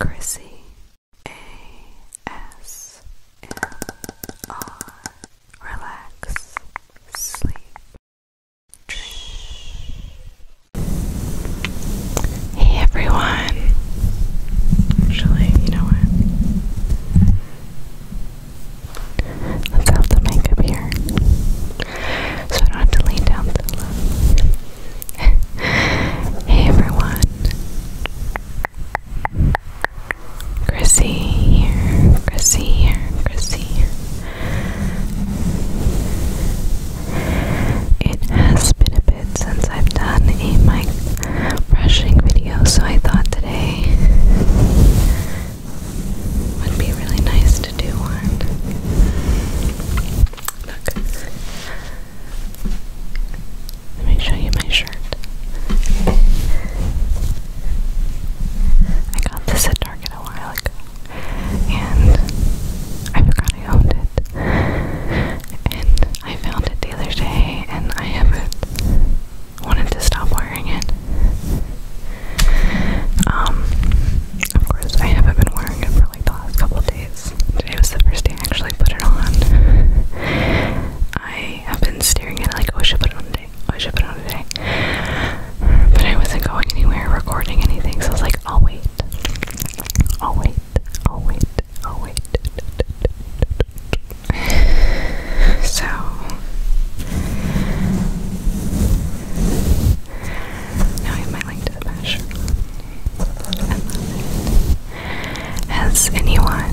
Chrissy A S M R Relax Sleep Hey everyone. Actually, you know what? Let's have the makeup here. So I don't have to lean down so low. hey everyone. Chrissy here, Chrissy here, Chrissy It has been a bit since I've done a mic brushing video, so I thought today would be really nice to do one. Look. Let me show you my shirt. I got this at Target a while ago, and I forgot I owned it. And I found it the other day, and I haven't wanted to stop wearing it. Um, of course, I haven't been wearing it for like the last couple days days. Today was the first day I actually put it on. I have been staring at it like, oh, I should put it on today. Oh, I should put it on today. But I wasn't going anywhere recording anything, so I was like, I'll wait. I'll wait. I'll wait. I'll wait. So. Now I have my link to the mesh. Has anyone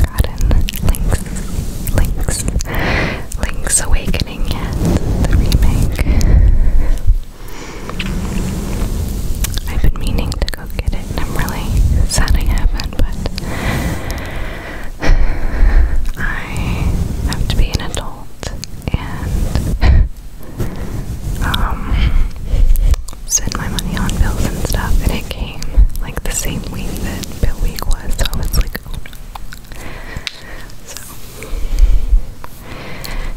gotten Link's, Link's, Link's Awakening yet? The remake? I've been meaning to go get it, I'm really sad I have but I have to be an adult and um, my money on bills and stuff, and it came like the same week that bill week was, so I like, oh, So,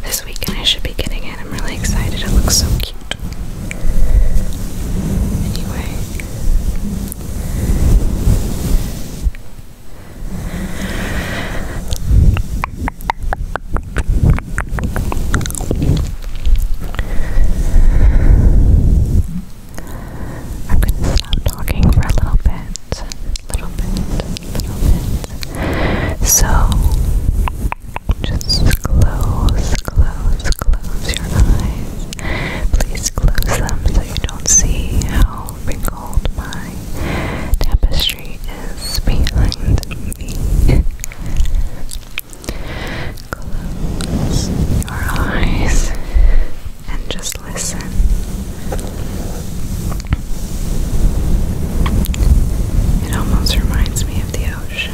this weekend I should be getting it. I'm really excited. It looks so cute. Anyway, I'm gonna stop talking for a little bit, So just close, close, close your eyes. Please close them so you don't see how wrinkled my tapestry is behind me. Close your eyes and just listen. It almost reminds me of the ocean.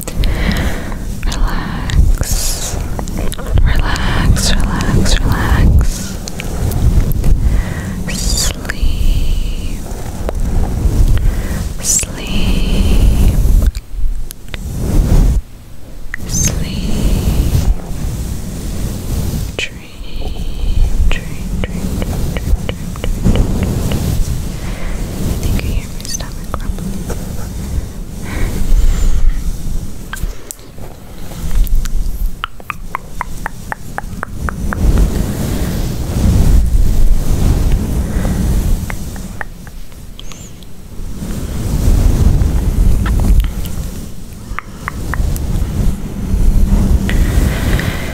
Relax, relax, relax, relax. Sleep, sleep, sleep. Dream, dream, dream, dream, dream, dream, dream hear my stomach rumbling.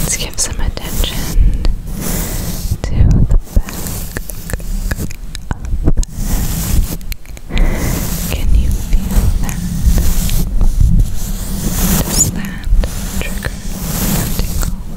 Let's give some attention to the back can you feel that? Does that trigger a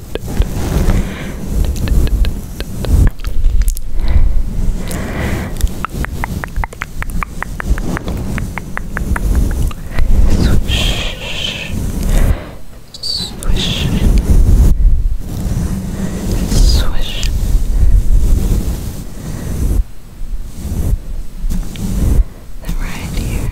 Swish. Swish. Swish. Then right here.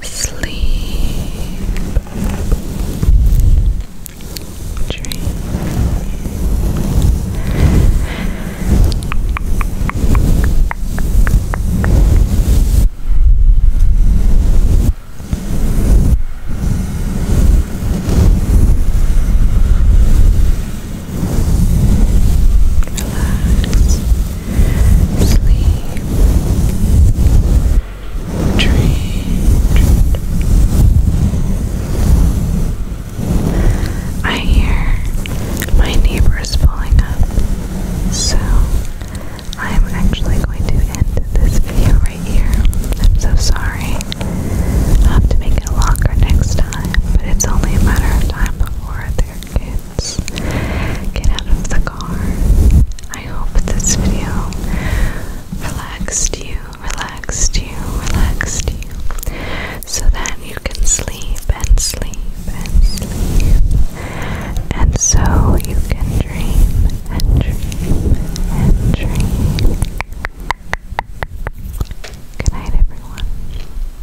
Sleep. Dream relax, sleep, dream. I hear my neighbor pulling up, so I'm actually going to end this video right here. I'm so sorry. i have to make it longer next time, but it's only a matter of time before they're good get out of the car. I hope this video relaxed you, relaxed you, relaxed you, so that you can sleep and sleep and sleep, and so you can dream and dream and dream. Good night, everyone.